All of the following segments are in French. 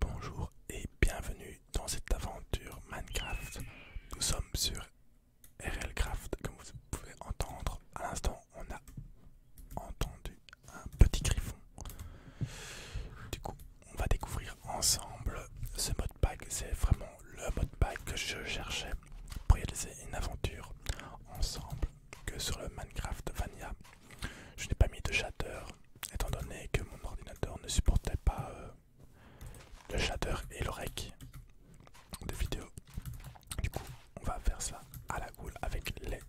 Bonjour et bienvenue dans cette aventure Minecraft. Nous sommes sur RLCraft. Comme vous pouvez entendre, à l'instant, on a entendu un petit griffon. Du coup, on va découvrir ensemble ce mode C'est vraiment le mode que je cherchais pour réaliser une aventure ensemble que sur le Minecraft Vanilla je n'ai pas mis de shader, étant donné que mon ordinateur ne supportait pas euh, le shader et le rec de vidéo. Du coup, on va faire ça à la goule avec les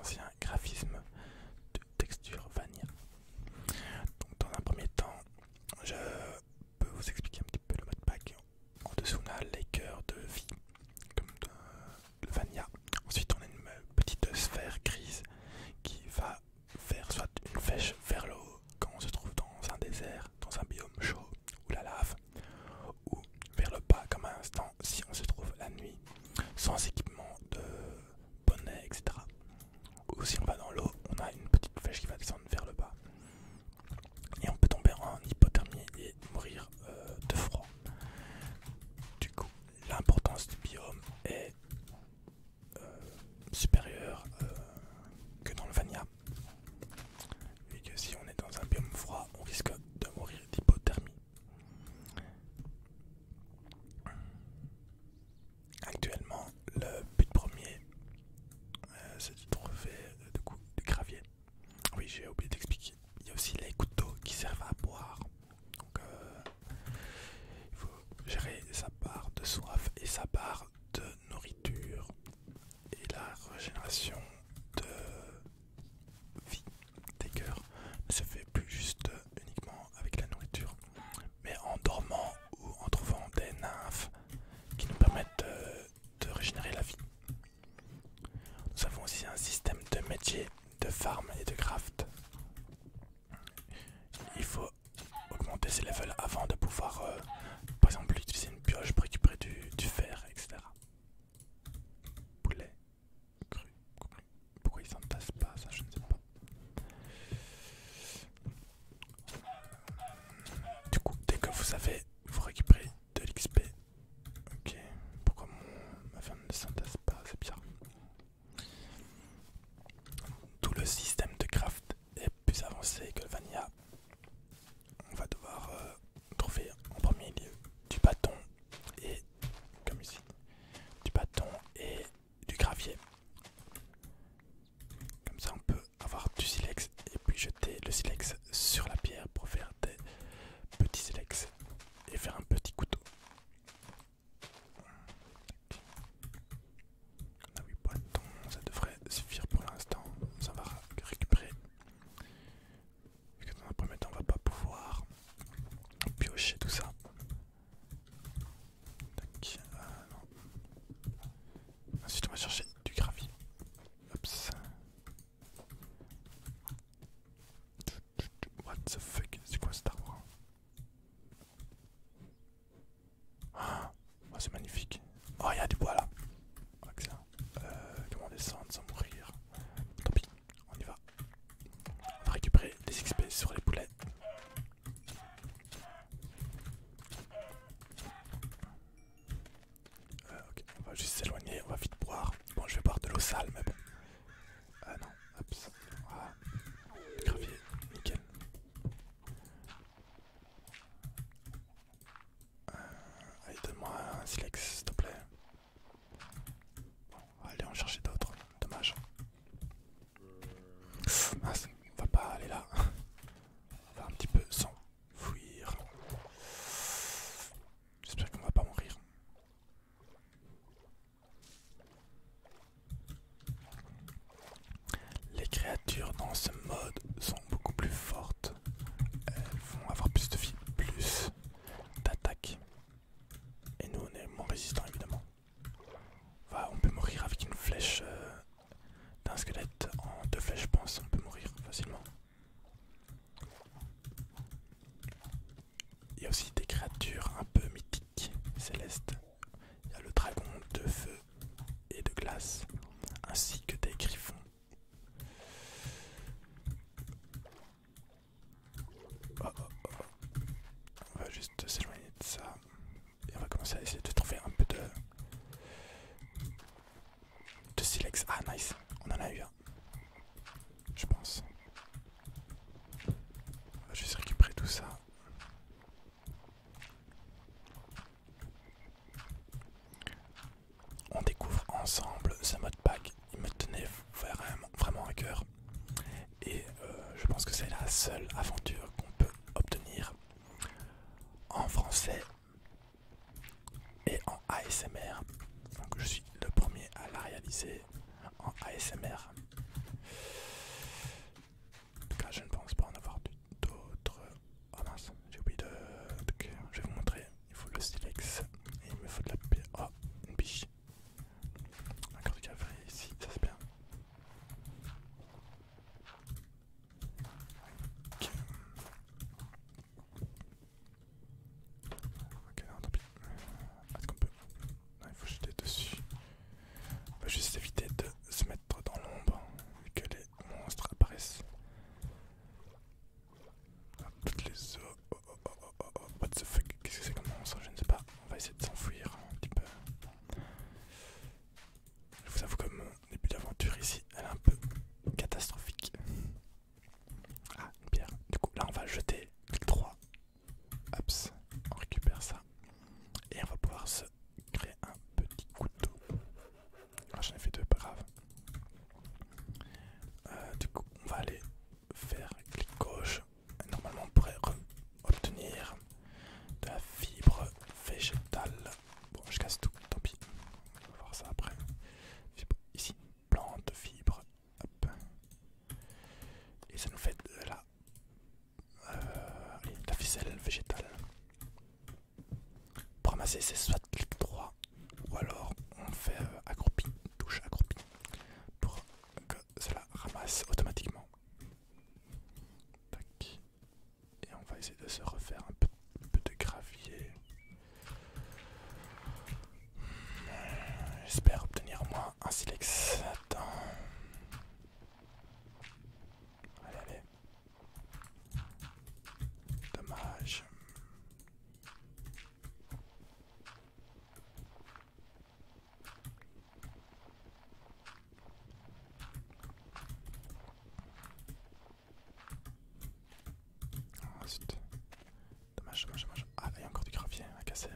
anciens graphismes de texture vanilla. Donc, dans un premier temps, je peux vous expliquer un petit peu le mode pack. En dessous, on a les cœurs de vie, comme le de Ensuite, on a une petite sphère grise qui va faire soit une flèche vers le haut quand on se trouve dans un désert, dans un biome chaud ou la lave, ou vers le bas comme un instant si on se trouve la nuit sans équipement de bonnet, etc. Ou si on va dans l'eau, on a une petite flèche qui va descendre vers le bas. Et on peut tomber en hypothermie et mourir euh, de froid. Du coup, l'importance du biome est euh, supérieure euh, que dans le Vania. Et que si on est dans un biome froid, on risque de mourir d'hypothermie. Actuellement, le but premier, euh, c'est de trouver du de, gravier. Oui, j'ai oublié d'expliquer. Il y a aussi les couteaux qui servent à boire. Donc, euh, il faut gérer sa part de soif et sa part de nourriture et la régénération de vie des cœurs ne se fait plus juste uniquement avec la nourriture, mais en dormant ou en trouvant des nymphes qui nous permettent euh, de, régénérer la vie. Nous avons aussi un système de métier, de farm et de craft il faut augmenter ses levels avant de pouvoir, euh, par exemple, utiliser une pioche pour récupérer du, fer, etc. Poulet cru, Pourquoi il s'entasse pas Ça, je ne sais pas. Du coup, dès que vous savez, vous récupérez de l'XP. Ok, pourquoi ma femme ne s'entasse pas C'est bizarre. Tout le système de craft est plus avancé que le vanilla. On va devoir euh, trouver en premier lieu du bâton et comme ici du bâton et du gravier. Comme ça on peut avoir du silex et puis jeter le silex sur la pierre pour faire des petits silex et faire un petit couteau. On a 8 ça devrait suffire pour l'instant. Ça va récupérer. Puisque que dans un premier temps, on va pas pouvoir piocher tout ça. Tac, ah non. Ensuite, on va chercher du gravier. What the fuck C'est quoi cet arbre Ah oh, c'est magnifique. Oh il y a du bois là. Euh, comment descendre sans mourir Tant pis, on y va. On va récupérer des XP sur les poulets. Euh, ok, on va juste s'éloigner, on va vite boire. Bon, je vais boire de l'eau sale, mais bon. Ah non, hop, ah, Gravier, nickel. Euh, allez, donne-moi un silex, s'il te plaît. Bon, on va chercher d'autres, dommage. Ah, on va pas aller là. On va un petit peu s'enfuir. J'espère qu'on va pas mourir. Les créatures dans ce mode sont beaucoup plus fortes. Elles vont avoir plus de vie, plus d'attaque. Et nous on est moins résistants évidemment. on peut mourir avec une flèche euh, d'un squelette en deux flèches je pense, on peut mourir facilement. Il y a aussi des créatures un peu mythiques célestes. Il y a le dragon de feu et de glace, ainsi que des griffons. Oh, oh, oh. On va juste s'éloigner de ça et on va commencer à essayer de trouver un peu de de silex. Ah nice, on en a eu un. Je pense. Ah, je vais juste récupérer tout ça. On découvre ensemble ce mode pack. Il me tenait vraiment, à cœur. Et euh, je pense que c'est la seule aventure qu'on peut obtenir en français et en ASMR. Donc je suis le premier à la réaliser en ASMR. en tout cas je ne pense pas en avoir d'autres. Oh mince, j'ai oublié de. je vais vous montrer. Il faut le silex et il me faut de la. Oh, une biche. Encore du café ici, ça c'est bien. Ok, tant pis. Est-ce qu'on peut. Non, il faut jeter dessus. On va juste éviter de se mettre dans l'ombre et que les monstres apparaissent. toutes les Oh, oh, oh, oh, oh, what the fuck? Qu'est-ce que c'est comme monstre? Je ne sais pas. On va essayer de s'enfuir un petit peu. Je vous avoue que mon début d'aventure ici, est un peu catastrophique. Ah, une pierre. Du coup, là, on va jeter clic 3 Hops, on récupère ça. Et on va pouvoir se créer un petit couteau. Ah, j'en fait deux, pas grave. Euh, du coup, on va aller faire clic gauche. Normalement, on pourrait obtenir de la fibre végétale. Bon, je casse tout, tant pis. On va voir ça après. ici plante, fibre, Et ça nous fait de la, euh, ficelle végétale. Pour ramasser, c'est soit clic droit ou alors on fait euh, accroupi, touche accroupi pour que cela ramasse automatiquement. Et on va essayer de se refaire un un peu de gravier. J'espère obtenir au moins un silex. Attends. Allez, allez. Dommage. Ah, Dommage, dommage, dommage. Ah, il y a encore du gravier à casser.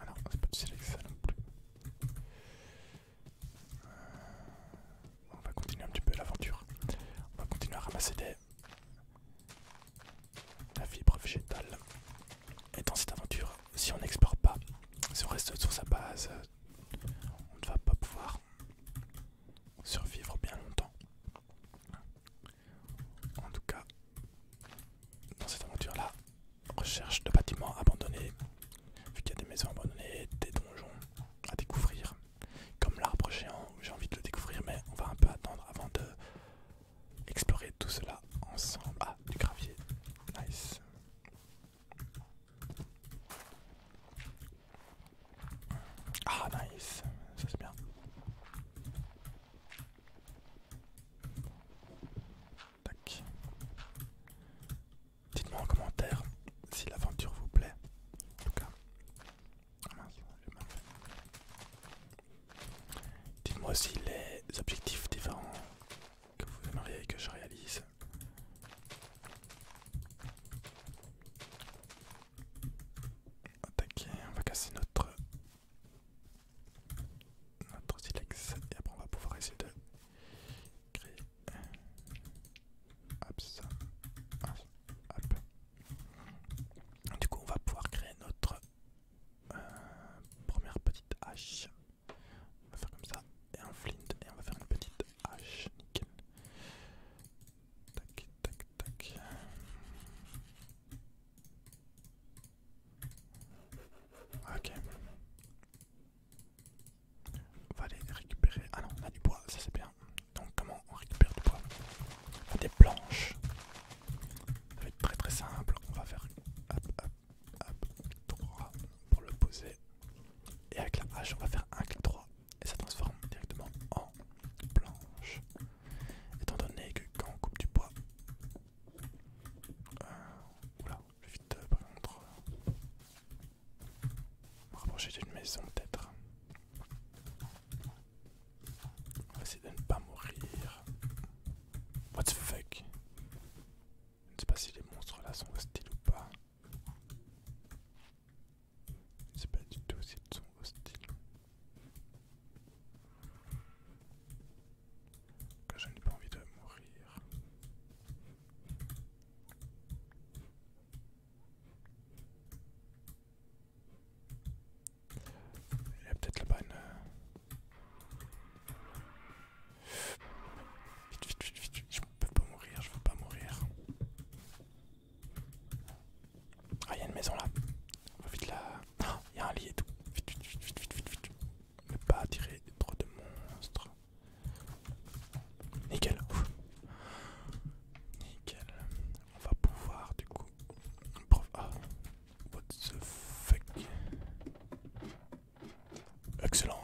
Alors, on c'est pas non plus. Euh, on va continuer un petit peu l'aventure. On va continuer à ramasser des... la fibre végétale. Et dans cette aventure, si on n'explore pas, si on reste sur sa base, on ne va pas pouvoir survivre bien longtemps. En tout cas, dans cette aventure-là, recherche de bâtiments abandonnés, vu qu'il y a des maisons abandonnées, des donjons à découvrir, comme l'arbre géant, j'ai envie de le découvrir, mais on va un peu attendre avant de explorer tout cela ensemble. Ah, du gravier, nice. Ah nice, ça c'est bien. Dites-moi en commentaire si l'aventure vous plaît. En tout cas. Ah, Dites-moi aussi les objectifs différents que vous aimeriez que je réalise. Attaquer, on va casser notre notre silex et après on va pouvoir essayer de créer hop hop du coup on va pouvoir créer notre euh, première petite hache on va faire comme ça et un flint et on va faire une petite hache nickel Tac, tac, tac. Ok. On va aller récupérer. Ah non, on a du bois, ça c'est bien. Donc comment on récupère du bois des planches. Ça va être très très simple. On va faire hop, hop, hop, droit pour le poser. Et avec la hache, on va faire un clic droit et ça transforme directement en planche. Étant donné que quand on coupe du bois, euh, oula, je vais vite euh, par contre euh, rapprocher d'une maison peut-être. On va essayer de ne pas mourir. What the fuck Je ne sais pas si les monstres là sont hostiles ou pas. C'est pas du tout s'ils sont hostiles. je n'ai pas envie de mourir. Il y a peut-être la bas euh, Vite, vite, vite, vite, je peux pas mourir, je veux pas mourir. Ah, il y a une maison là. On va vite là. Il ah, y a un lit et tout. Vite, vite, vite, vite, vite, vite, vite. Ne pas attirer trop de monstres. Nickel. Nickel. On va pouvoir du coup. Ah. What the fuck. Excellent.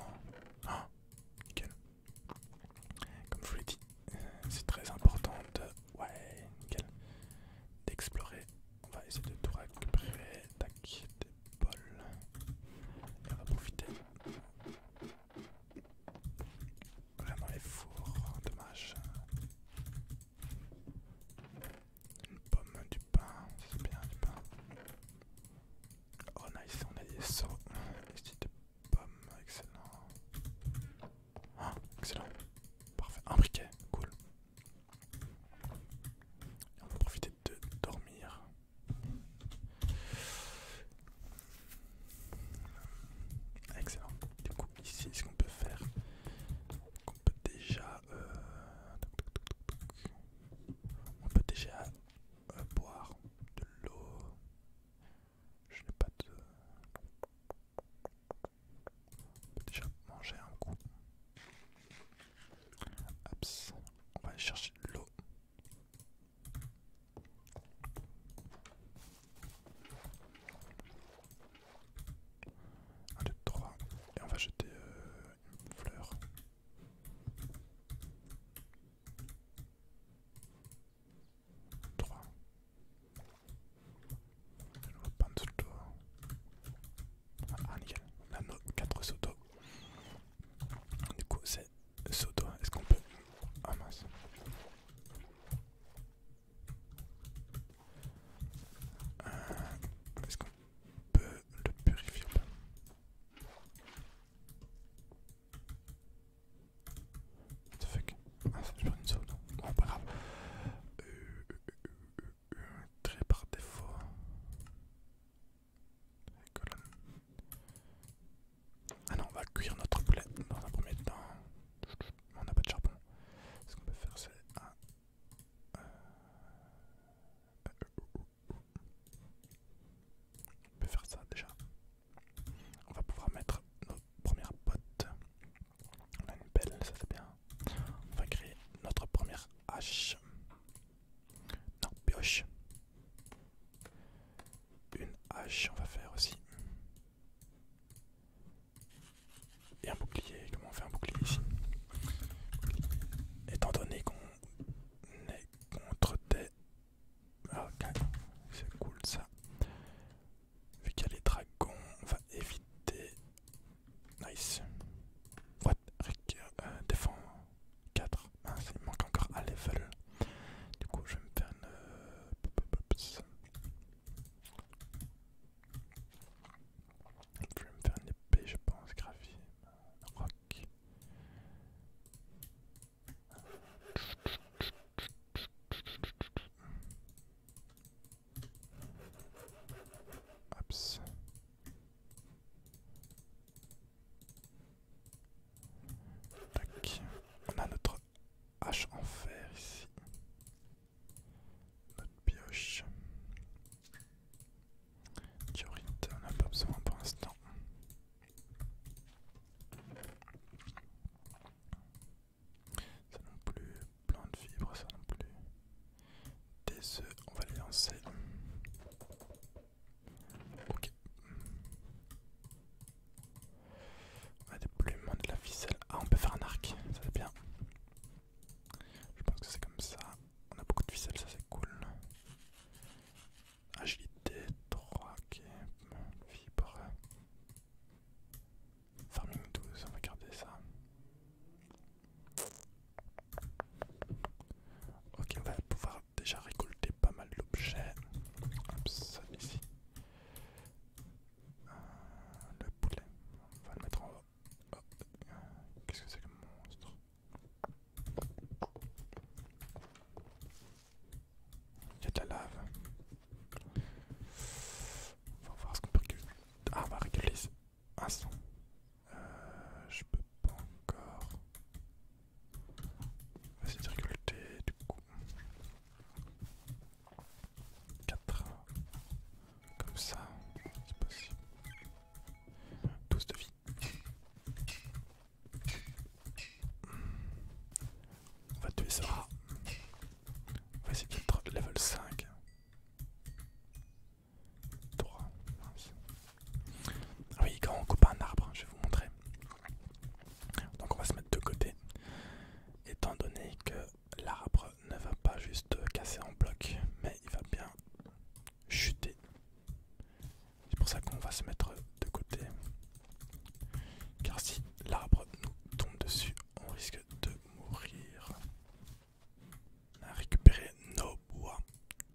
Ah. Nickel. Comme je vous l'ai dit, euh, c'est très important de... Ouais, nickel. D'explorer. On va essayer de tout récupérer. Tac, des bols. Et on va profiter. Vraiment les fours, dommage. Une pomme, du pain, c'est bien du pain. Oh nice, on a des sauts. Pomme, excellent. Ah, excellent. Parfait. Un briquet, cool. on va profiter de dormir. Excellent. Du coup, ici, ce qu'on peut faire, euh, on peut déjà... On peut déjà boire de l'eau. Je n'ai pas de... On peut déjà manger un coup. On va aller chercher de l'eau. Un, deux, trois. Et on va jeter euh, une fleur. 3. On nouveau pan de soto. Ah nickel, 4 soto. Du coup c'est soto, est-ce qu'on peut... Ah mince. Euh, est-ce qu'on peut le purifier ou pas What the fuck Ah, ça une non Bon, pas grave. Euh, trait euh, euh, euh, très par défaut. Ah non, on va cuire notre poulet dans un premier temps. On n'a pas de charbon. Ce qu'on peut faire, c'est on peut faire ça déjà. On va pouvoir mettre nos premières bottes. On a une belle, ça c'est bien. On va créer notre première hache. Non, pioche. Une hache, on va faire aussi. Et un bouclier, comment on fait un bouclier ici Étant donné qu'on est contre des Ok, c'est cool ça. Vu qu'il y a les dragons, on va éviter. Nice. What? Rick, euh, défend 4. Ah, il manque encore à level. Du coup, je vais me faire une. Euh, je vais me faire une épée, je pense, gravier. Rock. Tac. On a notre hache en fer ici. Notre pioche. Diorite, on n'a pas besoin pour l'instant. Ça non plus, plein de fibres, ça non plus. Des œufs, on va les lancer. Ok. On a des plumes, de la ficelle. Ah, on peut faire un arc, ça c'est bien. Je pense que c'est comme ça. On a beaucoup de ficelle, ça c'est cool. Agilité, track, vibre, Farming 12, on va garder ça. Ok, on va pouvoir déjà récolter pas mal d'objets. Hop, ça ici. Euh, le poulet, on va le mettre en haut. Oh, qu'est-ce que c'est le monstre il y a de la lave. On va voir ce qu'on peut récupérer. Ah, on va récupérer un son, euh, je peux pas encore. essayer de récolter du coup. 4. Comme ça, c'est possible. 12 de vie. On va tuer ça. On va essayer d'être level 5. 3. Ah Oui, quand on coupe un arbre, hein, je vais vous montrer. Donc on va se mettre de côté. Étant donné que l'arbre ne va pas juste casser en bloc, mais il va bien chuter. C'est pour ça qu'on va se mettre de côté. Car si l'arbre nous tombe dessus, on risque de mourir. On a récupéré nos bois.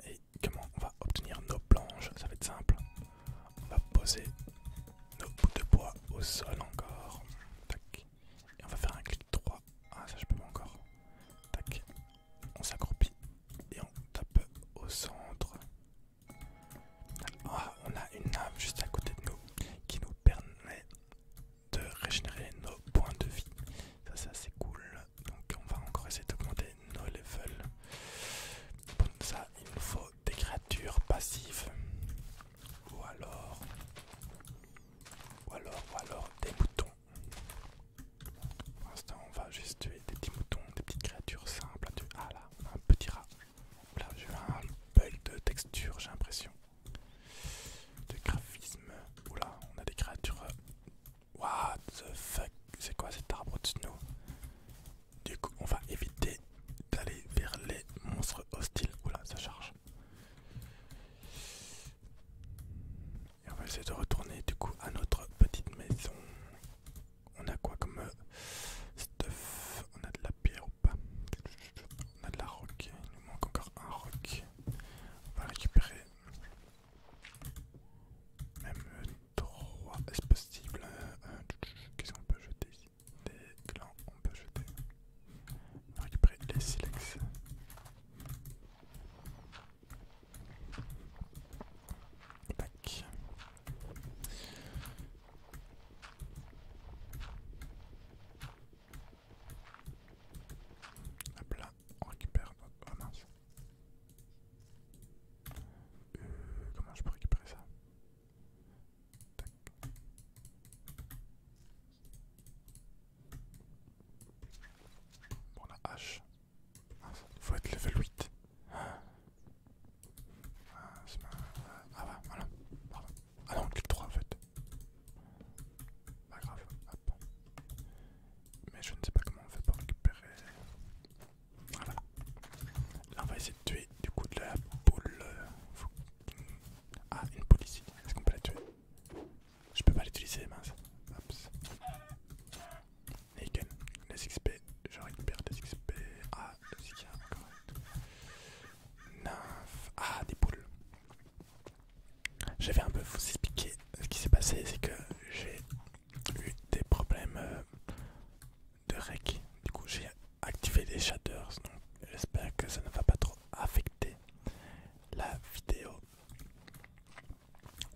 Et comment on va obtenir nos planches Ça va être simple. On va poser nos bouts de bois au sol encore. Et on va faire un clic droit. Ah ça je peux pas encore. Tac. On s'accroupit et on tape au centre. Ah, on a une âme juste à côté de nous qui nous permet de régénérer nos points de vie. Ça c'est assez cool. Donc on va encore essayer d'augmenter nos levels. Pour ça il nous faut des créatures passives. Ou alors... Ou alors, ou alors des moutons. Pour l'instant, on va juste tuer des petits moutons, des petites créatures simples. Ah là, un petit rat. Là, j'ai un bug de texture, j'ai l'impression. De graphisme. Oula, on a des créatures. Euh, what the fuck C'est quoi cet arbre de snow Du coup, on va éviter d'aller vers les monstres hostiles. Oula, ça charge. Et on va essayer de retourner du coup à notre petite maison. On a quoi comme euh, stuff On a de la pierre ou pas On a de la roc. Il nous manque encore un roc. On va récupérer même 3 euh, est-ce possible euh, Qu'est-ce qu'on peut jeter Des clans. on peut jeter. On va récupérer les silex. Tac. Hop là, on récupère notre... Oh mince. Euh, comment je peux récupérer ça Tac. Bon, la hache. Il Faut être level 8. Ah, ah, ah, non, ah bah, voilà. Ah non, le 3 en fait. Pas grave, Mais je ne sais pas comment on fait pour récupérer. Ah, voilà. Là on va essayer de tuer du coup de la poule euh, Ah, une poule ici. Est-ce qu'on peut la tuer Je peux pas l'utiliser, mince. Haken, les XP, je récupère des XP. Ah, des XP, 9. Ah, des poules. Je vais un peu vous expliquer ce qui s'est passé, c'est que j'ai eu des problèmes euh, de rec. Du coup, j'ai activé les shaders, donc j'espère que ça ne va pas trop affecter la vidéo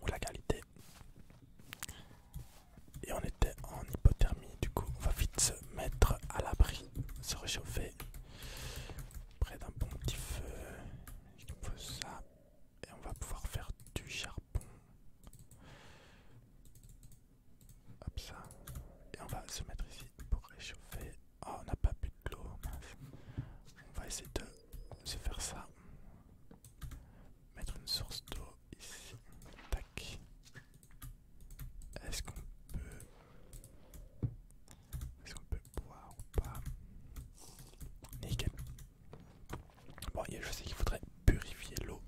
ou la qualité. Et on était en hypothermie, du coup on va vite se mettre à l'abri, se réchauffer près d'un bon petit feu. ça et on va pouvoir faire du charbon. Hop ça. Et on va se mettre ici pour réchauffer. Oh on n'a pas plus de l'eau. On va essayer de se faire ça mettre une source d'eau ici. Tac. Est-ce qu'on peut... Est-ce qu'on peut boire ou pas Nickel. Bon, je sais qu'il faudrait purifier l'eau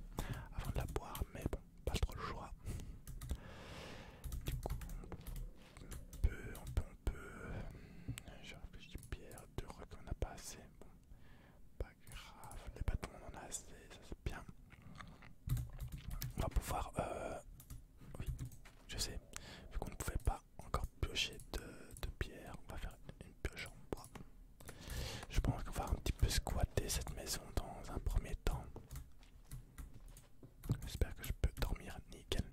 avant de la boire, mais bon, pas trop le choix. Du coup, on peut, on peut, on peut... J'ai réfléchi pierre, deux qu'on on n'a pas assez. Pas grave, les bâtons on en a assez, ça c'est bien. On va pouvoir... Euh, oui, je sais, vu qu'on ne pouvait pas encore piocher de, de pierre, on va faire une pioche en bois. Je pense qu'on va un petit peu squatter cette maison dans un premier temps. J'espère que je peux dormir nickel.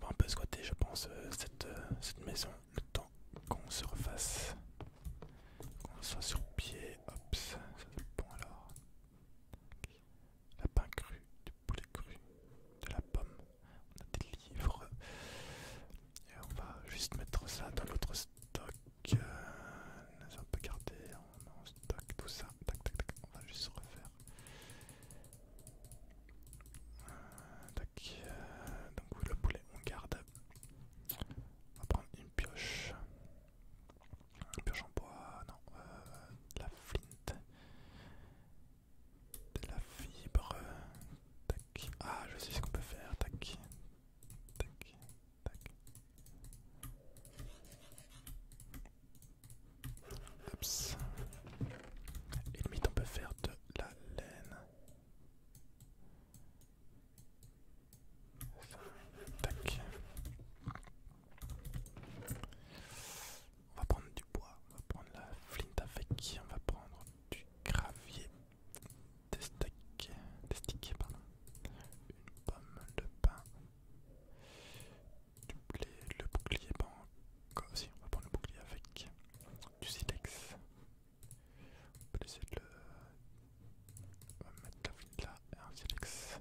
On va un peu squatter, je pense, euh, euh, cette, maison le temps qu'on se refasse, qu'on soit sur pied. Hop, ça être bon alors. Lapin cru, du poulet cru, de la pomme. On a des livres. Et on va juste mettre ça dans l'autre stock. Euh, on garder tout ça. On va juste refaire. Euh, donc le poulet, on garde. On va prendre une pioche. Une pioche en bois, non. Euh, de la flint. De la fibre. Tac. Ah, je sais ce qu'on peut faire. Tac. Tac. Tac. Et limite on peut faire deux la laine. On va prendre du bois, on va prendre la flint avec, on va prendre du gravier, des stacks, des sticks, une pomme de pain, du blé, le bouclier, bon, comme On va prendre le bouclier avec du silex. On peut essayer de le. va mettre la flûte là et un silex.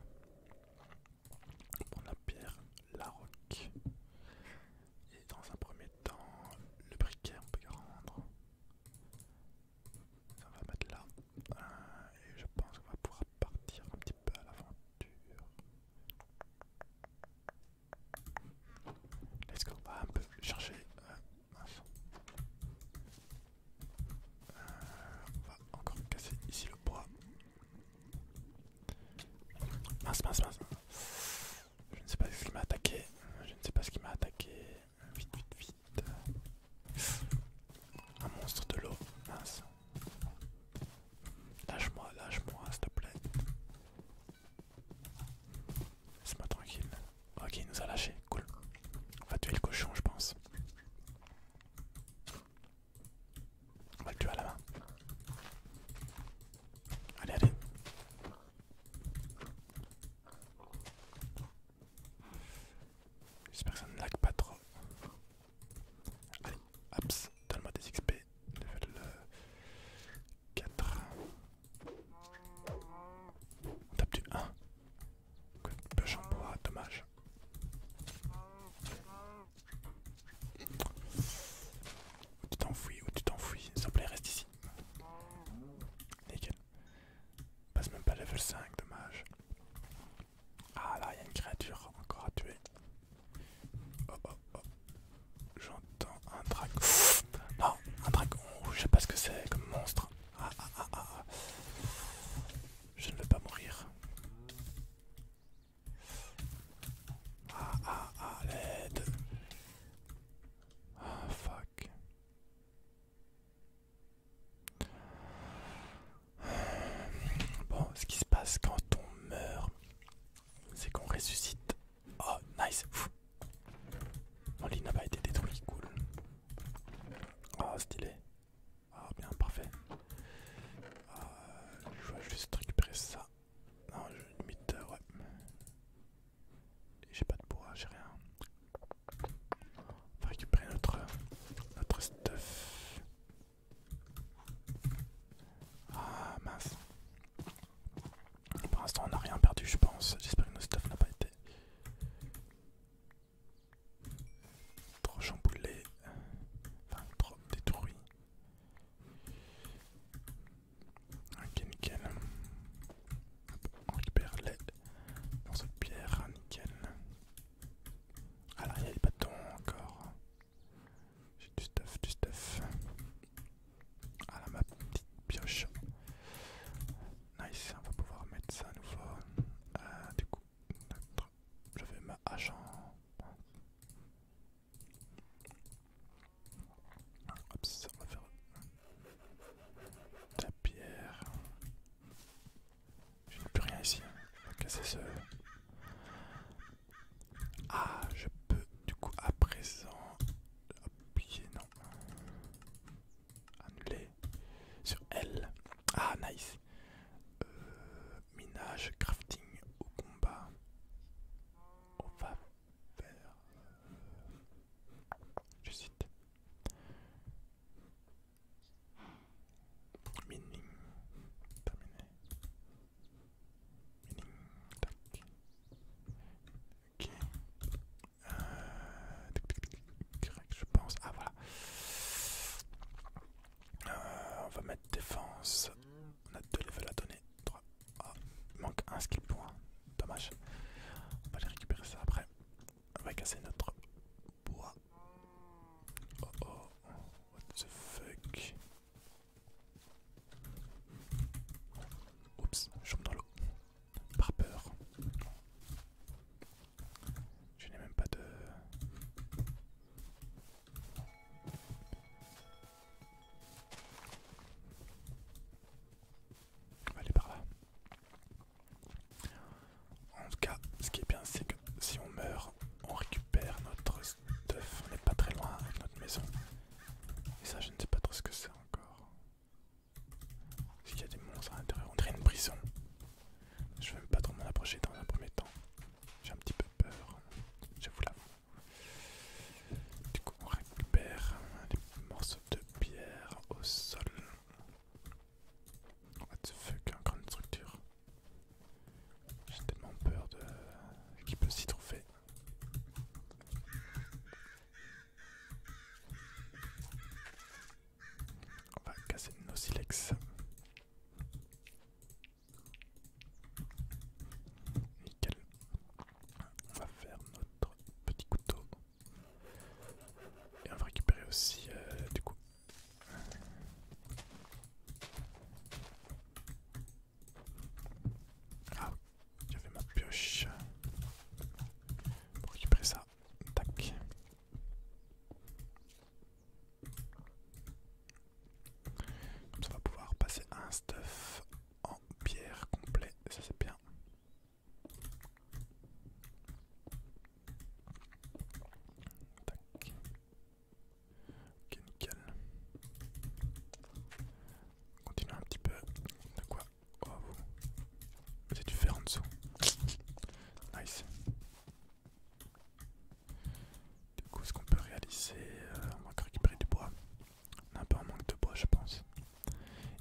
On prendre la pierre, la roque. Et dans un premier temps, le briquet on peut le rendre. On va mettre là. Euh, et je pense qu'on va pouvoir partir un petit peu à l'aventure. Let's go, bah, on va euh, un peu chercher on va encore casser ici le bois. Mince, mince, mince. Je ne sais pas ce qui m'a attaqué. Je ne sais pas ce qui m'a attaqué. Vite, vite, vite. Un monstre de l'eau. Mince. Lâche-moi, lâche-moi, s'il te plaît. Laisse-moi tranquille. Ok, il nous a lâché. Cool. On va tuer le cochon, je pense. On va le tuer à la main. Allez, allez. J'espère que ça ne lag pas trop. Allez, donne-moi des XP level 4. Euh, On tape du 1. quoi de pêche en bois, dommage. Où tu t'enfouis, ou tu t'enfouis, s'il te plaît, reste ici. Nickel. Passe même pas level 5, dommage. Ah là, il y a une créature encore à tuer. Oh, oh, oh. J'entends un drac. Non, un dragon. Je sais pas ce que c'est comme monstre. Ah, ah, ah, je ne veux pas mourir. Ah, ah, ah, l'aide. fuck. Bon, ce qui se passe quand on meurt, c'est qu'on ressuscite. Oh, nice. Mon lit n'a pas été détruit, cool. Oh, stylé. Ah, bien, parfait. Ah, je vais juste récupérer ça. Non, je limite, euh, ouais. J'ai pas de bois, j'ai rien. On va récupérer notre stuff. Ah mince. Pour l'instant on n'a rien perdu je pense. J'espère que nos stuff n'a pas été trop chamboulés, Enfin trop détruit. Ok nickel. On récupère les morceaux cette pierre, nickel. Alors ah, il y a pas bâtons encore. J'ai du stuff, du stuff. Ah là, ma petite pioche. Nice, on va pouvoir mettre ça à nouveau. Ah du coup, je vais ma hache Hop, ça, va faire la pierre. Je n'ai plus rien ici. On va casser ce ah, je peux du coup à présent appuyer, non. Annuler. Sur L. Ah, nice. Euh, minage, crafting au combat. On va faire... Euh, cite. Mining. Terminé. Ok. correct, euh, je pense. Ah voilà. Euh, on va mettre défense. On a deux levels à donner. Trois. Ah, il manque un skill point. Dommage. On va aller récupérer ça après. On va casser notre bois. Oh oh. What the fuck. Oups, je tombe dans l'eau. Par peur. Je n'ai même pas de... On va par là. En tout cas, ce qui est bien, c'est que si on meurt, on récupère notre stuff. On n'est pas très loin avec notre maison. Et ça, je ne sais pas trop ce que c'est encore. est y a des monstres à l'intérieur On dirait une prison. Je vais même pas trop m'en approcher dans un premier temps. J'ai un petit peu peur. J'avoue l'avoue. Du coup, on récupère des morceaux de pierre au sol. What the fuck, encore une structure. J'ai tellement peur de qui peut s'y trouver. On va casser nos silex. Nickel. On va faire notre petit couteau. Et on va récupérer aussi euh, du coup. Ah j'avais ma pioche pour récupérer ça. Tac. Comme ça, on va pouvoir passer un stuff en pierre complet. Ça, c'est bien. Tac. Ok, nickel. Continuons un petit peu. De quoi Oh, vous. avez du fer en dessous. Nice. Du coup, ce qu'on peut réaliser, euh, on va récupérer du bois. On a un peu en manque de bois, je pense.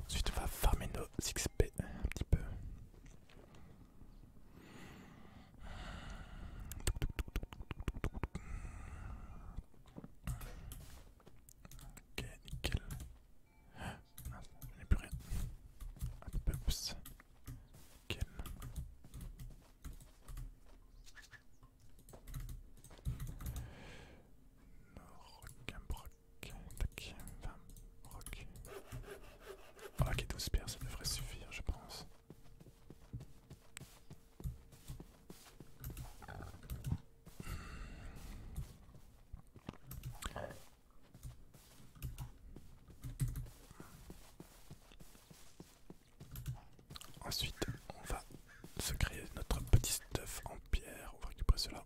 Ensuite, on va farmer nos XP un petit peu. Ok, nickel. Non, je n'ai plus rien. Hop, oups. Nickel. Rock, tac, 20, rock. Ok, 12 pierres, ça devrait suffire, je pense. Ensuite, on va se créer notre petit stuff en pierre. On va récupérer cela.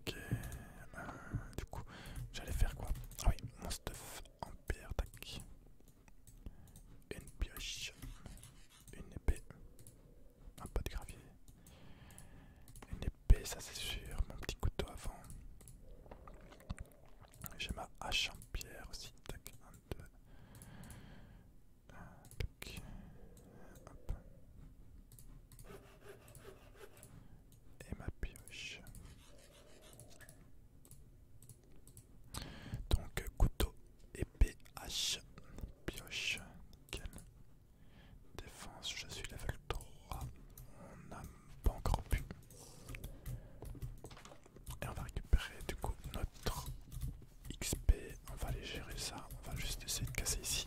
Ok, euh, du coup, j'allais faire quoi Ah oui, mon stuff en pierre, tac. Une pioche, une épée, un pas de gravier. Une épée, ça c'est sûr, mon petit couteau avant. J'ai ma hache en pierre aussi, tac, de... Ah, hop. Et ma pioche. Donc couteau, épée, hache, pioche, nickel. Défense, je suis level 3. On n'a pas encore pu. Et on va récupérer du coup notre XP. On va aller gérer ça. On va juste essayer de casser ici.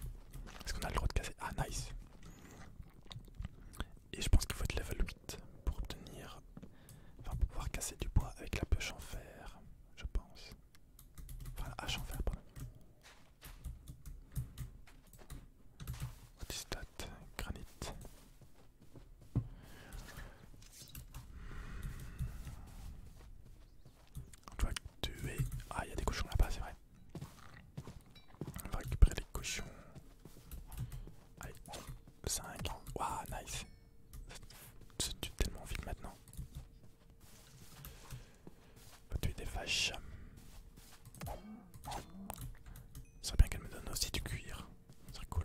Est-ce qu'on a le droit de casser Ah, nice Et je pense qu'il faut être level 8 pour obtenir. pouvoir casser du bois avec la pioche en fer, je pense. Enfin, la hache en fer, pardon. What on va tuer. Ah, il y a des cochons là-bas, c'est vrai. On va récupérer les cochons. Allez, 5. Waouh, nice. Tu tue tellement vite maintenant. On va tuer des vaches. Ça serait bien qu'elle me donne aussi du cuir. C'est cool.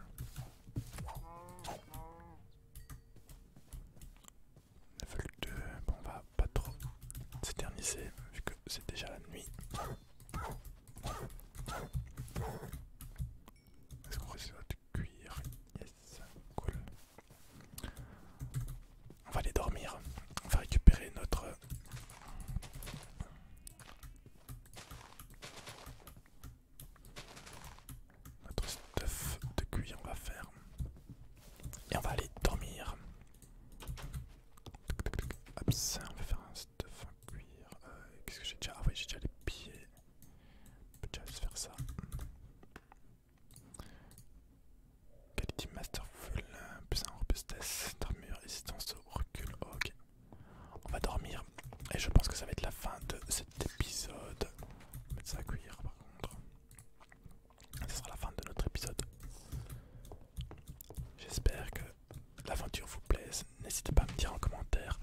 Il on va pas trop s'éterniser, vu que c'est déjà la nuit. Est-ce qu'on reste sur cuir Yes, cool. On va aller dormir. On va récupérer notre... Notre stuff de cuir on va faire. Et on va aller dormir. on va faire un stuff en cuir. Euh, qu'est-ce que j'ai déjà Ah oui, j'ai déjà les pieds. On peut déjà faire ça. Quality Masterful, plus un robustesse, d'armure, résistance au recul. Ok. On va dormir. Et je pense que ça va être la fin de cet épisode. On va mettre ça à cuire par contre. Ce sera la fin de notre épisode. J'espère que l'aventure vous plaise. N'hésitez pas à me dire en commentaire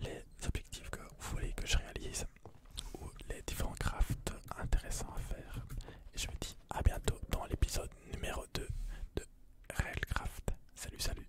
les objectifs que vous voulez que je réalise ou les différents crafts intéressants à faire. Et je vous dis à bientôt dans l'épisode numéro 2 de Railcraft. Salut, salut!